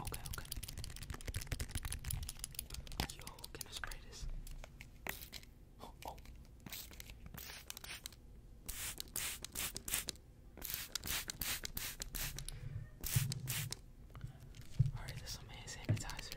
Okay, okay. Yo, can I spray this? Oh, oh. Alright, this is some hand sanitizer.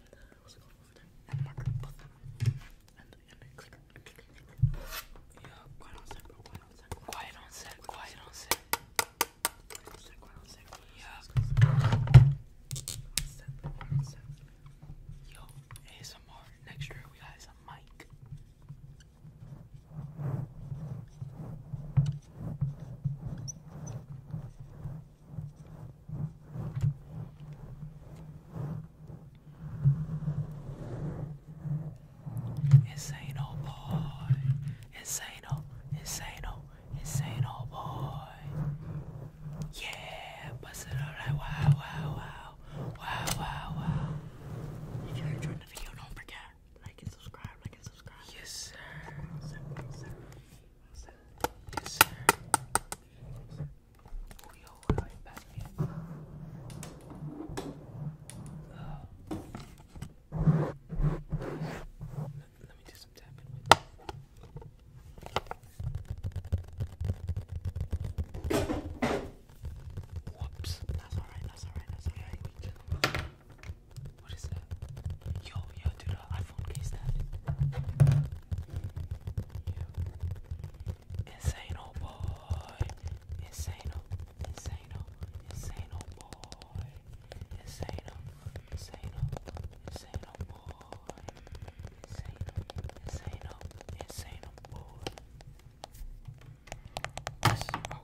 and uh, what's it called over there? And marker, buff, and and a clicker. Yeah, quiet on set, bro. Quiet on set. Quiet on set. Quiet on set. Quiet on set. Quiet on set. Yeah. On set. Quiet on set. Yo, ASMR. Next year we got some mic. Insane old boy, insane old, insane old, insane old boy. Yeah, bust it out right, wow, wow, wow, wow, wow, wow. If you're the video, don't forget, like and subscribe, like and subscribe. Yes, sir. Yes, sir. let, me do some tapping Whoops. That's alright, that's alright, that's alright. What is that? Yo, yo, dude, uh, iPhone case that. Yeah. Insane, oh boy. Insane, oh, insane, oh, insane, oh boy. Insane, oh, insane, oh, insane, oh boy. Insane, oh, insane, oh, insane, oh boy. Yes. Okay, wait, wait.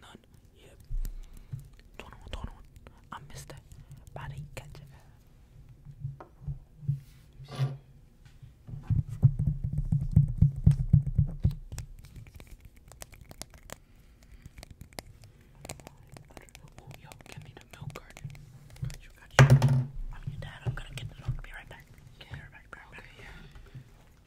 none. Yep. 21, 21. I missed that. Body catch it. Oh, yo, give me the milk carton. I'm your dad. I'm gonna get the milk. Be right back. Get her back,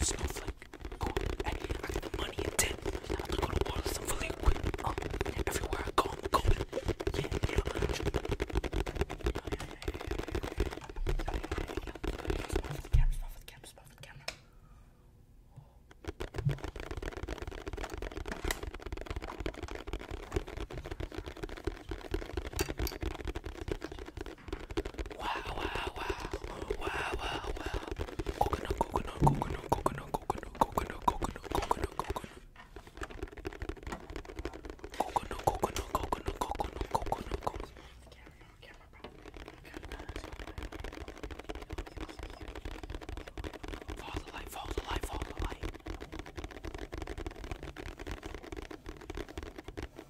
Snowflake, cool. Hey, I got the money and ten. I'm gonna go to water some for liquid. Oh, everywhere I go, I'm going. the camera, stop the camera, stop the camera. Wow, wow, wow. Wow, wow, Coconut, coconut, coconut, coconut, coconut, coconut, coconut, coconut, coconut. Coconut, coconut, coconut, coconut, the light, follow the light, follow the light. Follow the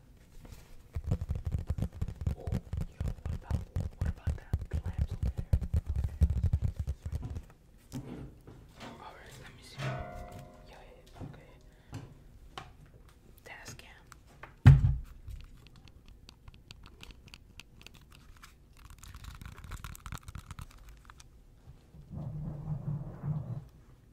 Oh, yo, what about what about that clamps over there? Okay. Alright, let me see. Yeah, yeah, okay. Task cam.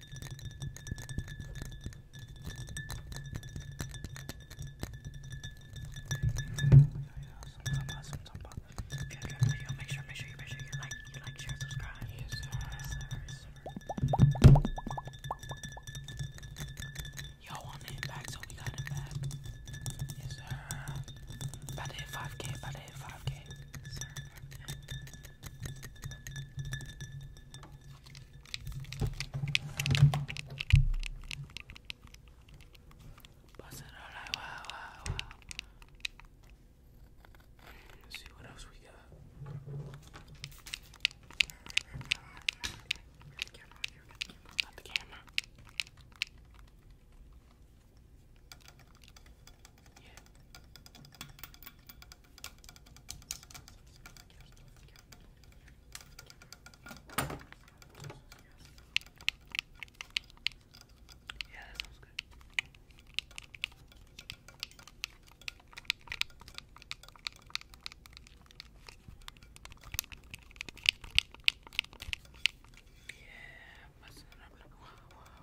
video. Make sure, make sure you make sure you like, you like, share, subscribe. Yes, sir. Yes, sir, yes, sir. Yo, on the impact, so we got it back. Yes, sir. About to hit 5K, about to hit 5K. Yes, sir. Pass it all right, wow, wow, wow. Let's see what else we got. Not the camera. Yeah, that sounds good. Yeah, my son, I'm like, wow, wow,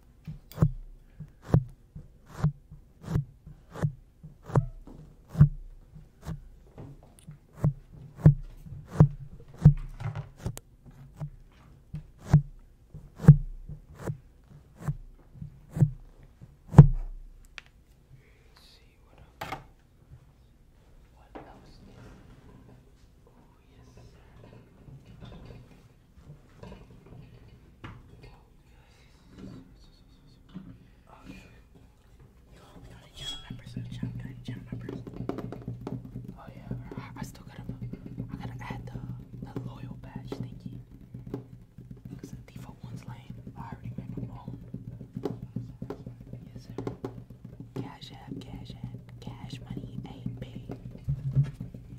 Let's see what else. What else? Is... Oh yes. Oh, yeah, I, still gotta, I gotta add the, the loyal badge thingy. Cause default one's lame. I already made my own. Yes, sir. Cash app, cash app, cash money, AP.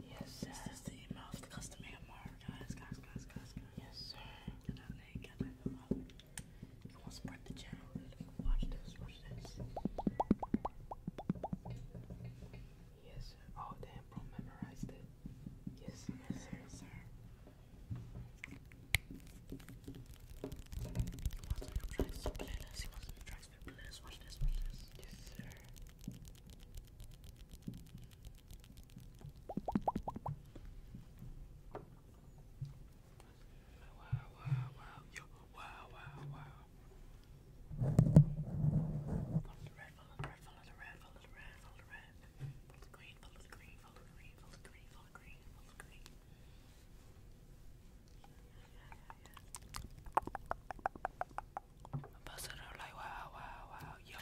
Yes, sir. the email of the customer. Guys, guys, guys, guys, guys. Yes, sir. You want to spread the channel? Watch this, watch this. Yes, sir. Oh, damn, bro, memorized it. Yes, yes, sir, sir. You want to drive some playlist? You want Relax, Watch this, Wow, wow, wow. Yo, wow, wow, wow. Follow the red, follow the red, follow the red, follow the red, follow the red. follow the green, follow the green, follow the green, follow the green, follow the green. Follow the green. Busted out like wow, wow, wow. Yep.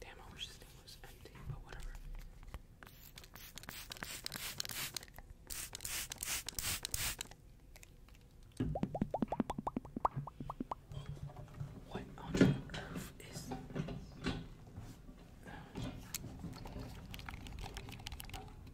Damn, I wish this thing was empty, but whatever. What on earth is this?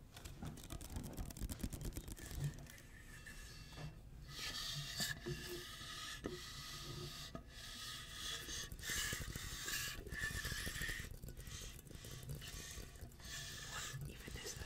What even is that?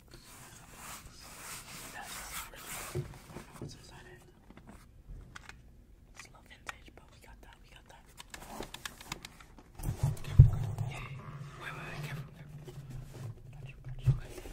That's really I don't know what's inside it. It's a little vintage, but we got that, we got that. Careful, careful. Yeah. Wait, wait, wait, careful, careful. Got you, got you, got you. Wait, wait, wait.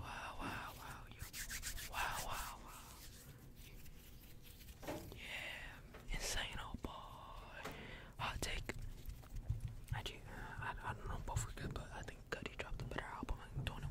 wow, wow, wow, Yeah, insane old boy. Hot take. I, I, I don't know both were good, but I think Cuddy dropped a better album in 21.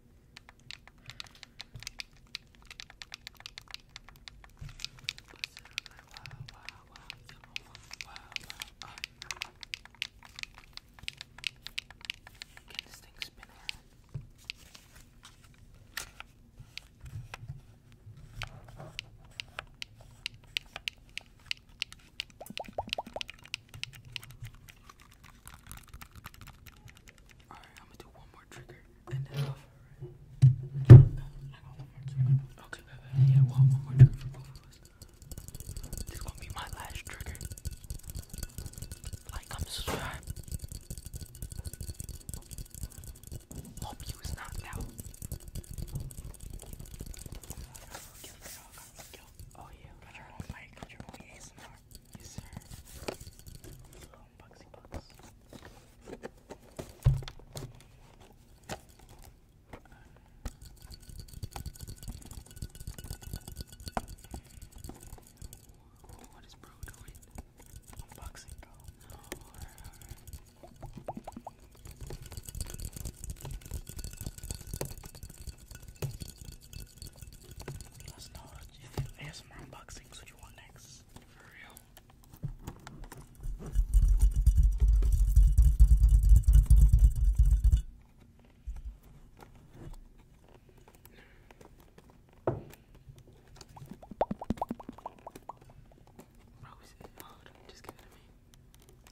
Get this thing spinning. Wow, Alright, I'm gonna do one more trigger and then off. Right? I got one one more trigger for both of us. This gonna be my last trigger. Like, i subscribe. Hope you was knocked out. Oh yeah, got your own mic, got your own ASMR. Yes sir phone, Bugsy What is bro doing? Unboxing, bro. Let us know if you do ASMR unboxings, what you want next. For real. Bro, it hard? Just give it to me.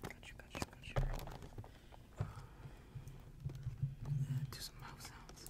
Got you, got you, got you. Uh, do some mouse sounds.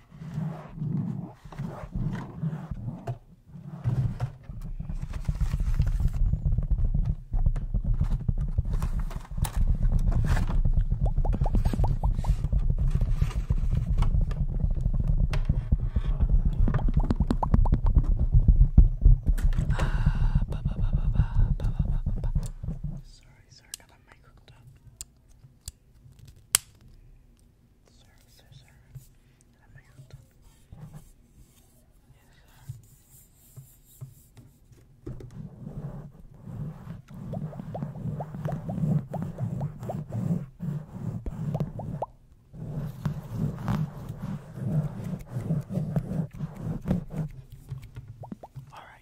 Sorry, sorry, got my mic hooked up. Alright,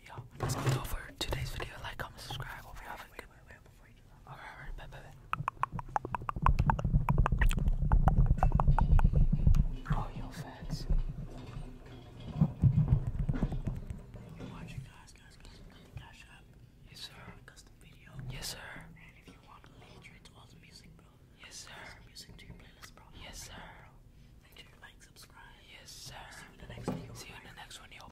y'all. That's all for today's video. Like, comment, subscribe. Hope you haven't. Wait, wait, Alright, alright, bye, bye, bye. Oh, yo, facts. You're watching, guys, guys, guys. Cash App. Yes, sir. Yes, sir. And if you want to lead to all music, bro. Yes, sir. Music to your playlist, bro. Yes, sir. Make sure you like, subscribe. Yes, sir. See you in the next video. See you in the next one, yo.